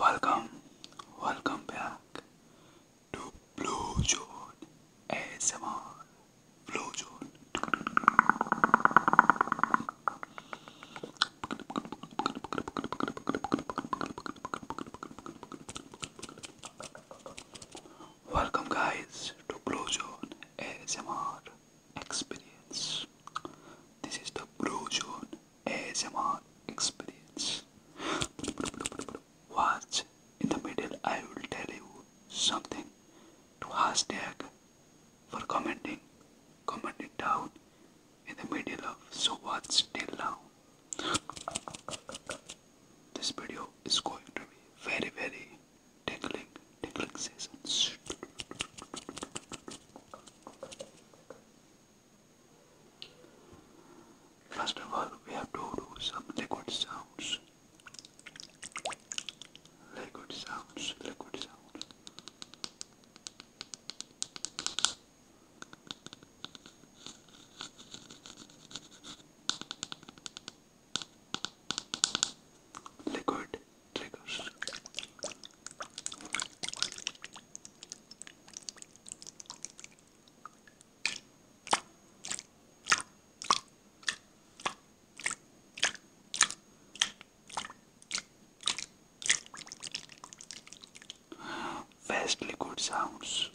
Welcome, welcome back to Blue Zone ASMR. Blue Zone. Welcome guys to Blue Zone ASMR experience. This is the Blue Zone ASMR experience. Watch in the middle I will tell you something to hashtag for commenting. Comment down in the middle of so watch till now. This video is going to be very very tickling, tickling season. First of all, we have to do some liquid sounds. Liquid sounds, liquid sounds liquid triggers. Fast liquid sounds.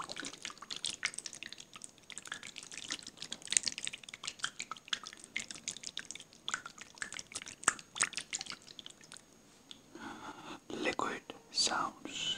Liquid sounds.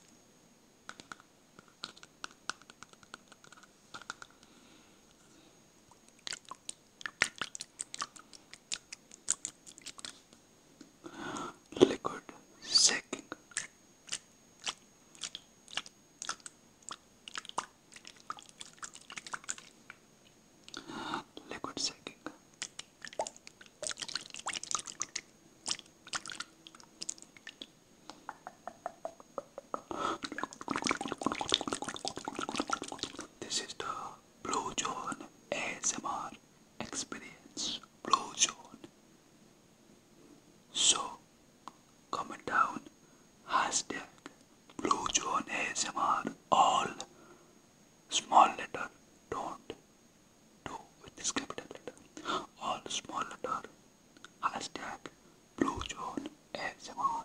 Liquid second. Liquid second. This is the Blue John ASMR experience. Blue John. So comment down hashtag ASMR all small letter don't 2 which is letter. All small letter. Hashtag Blue John ASMR.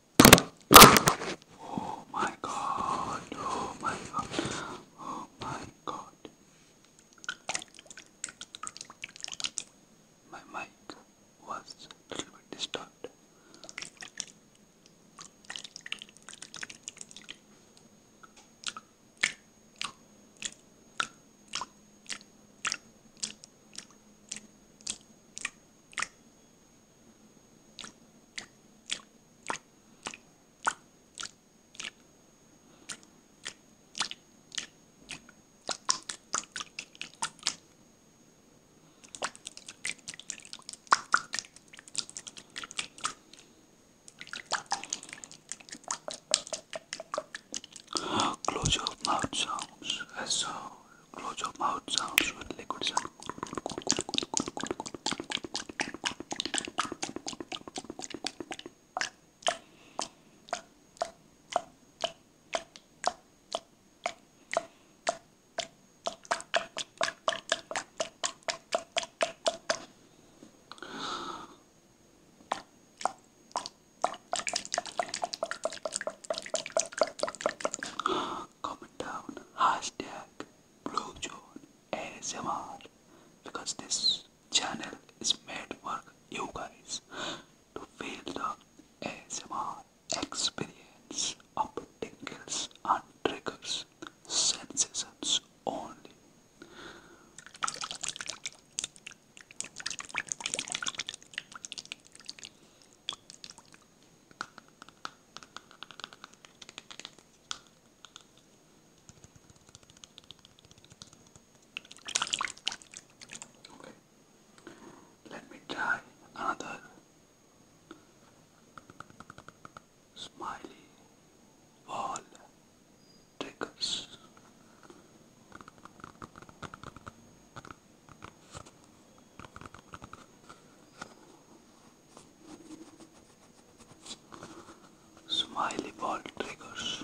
Oh my god, oh my god, oh my god. My mic was a little bit disturbed. Close your mouth sounds. as So, close your mouth sounds with liquids. Comment down hashtag Blue ASMR because this channel is made for you guys to feel the ASMR experience of tingles and triggers sensations only. Okay. Let me try another smiley ball triggers. Smiley ball triggers.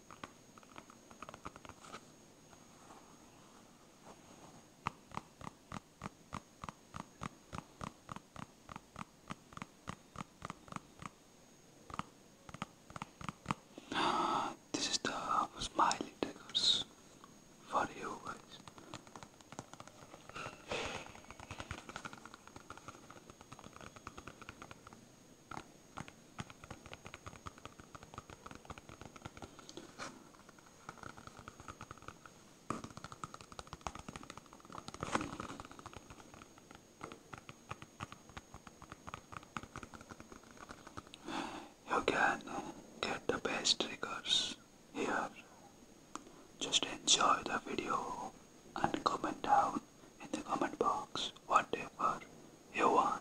This is the smiley tickers for you guys. You can get the best triggers here. Just enjoy the video and comment down in the comment box whatever you want.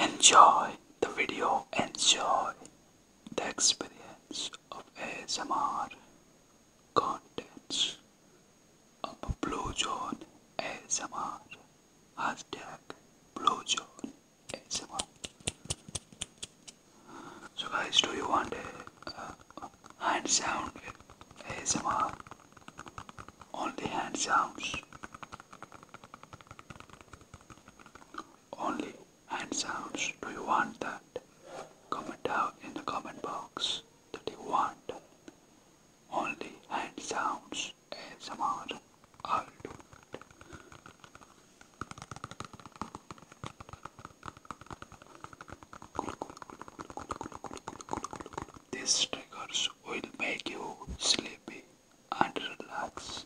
Enjoy the video, enjoy the experience of ASMR contents of Blue Zone ASMR. Hashtag Blue Zone ASMR. So, guys, do you want a hand sound ASMR? Only hand sounds. Only and sounds do you want that? Comment down in the comment box that you want only hand sounds ASMR. I'll do it. These triggers will make you sleepy and relax house.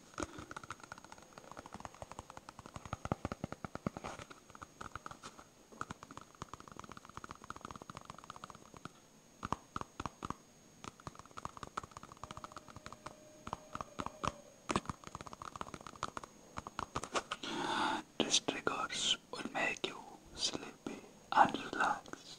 triggers will make you sleepy and relaxed.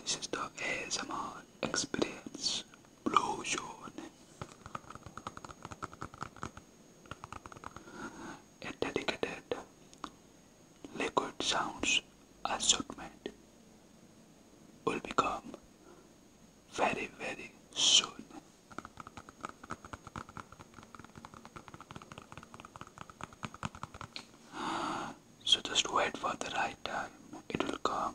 This is the ASMR experience explosion a dedicated liquid sounds assortment will become very very soon so just wait for the right time it will come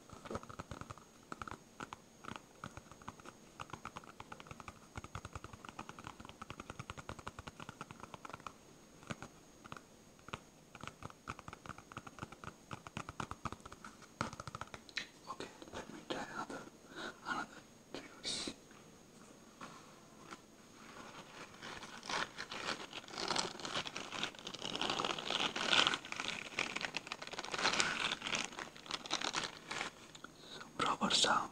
Okay, let me try another another juice. Proper sound.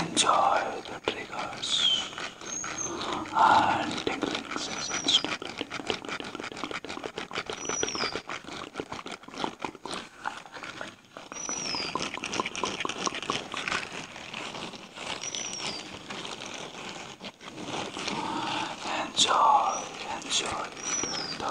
Enjoy the triggers and tingling sessions. enjoy, enjoy the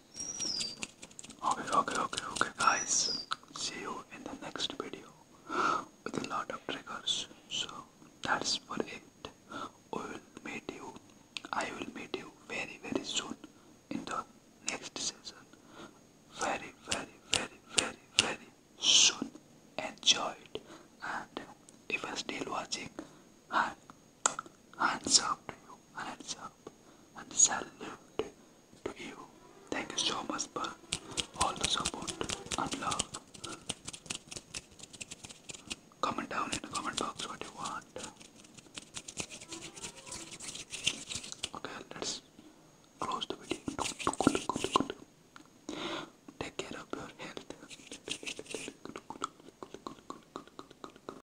Okay, okay, okay, okay, guys. See you in the next video with a lot of triggers. So that's for it. We will meet you. I will meet you very, very soon in the next season. Very, very, very, very, very soon. Enjoy And if you're still watching, and Hands up to you, hands up, and salute to you. Thank you so much for all the support and love. Comment down in the comment box what you want. Okay, let's close the video. Take care of your health.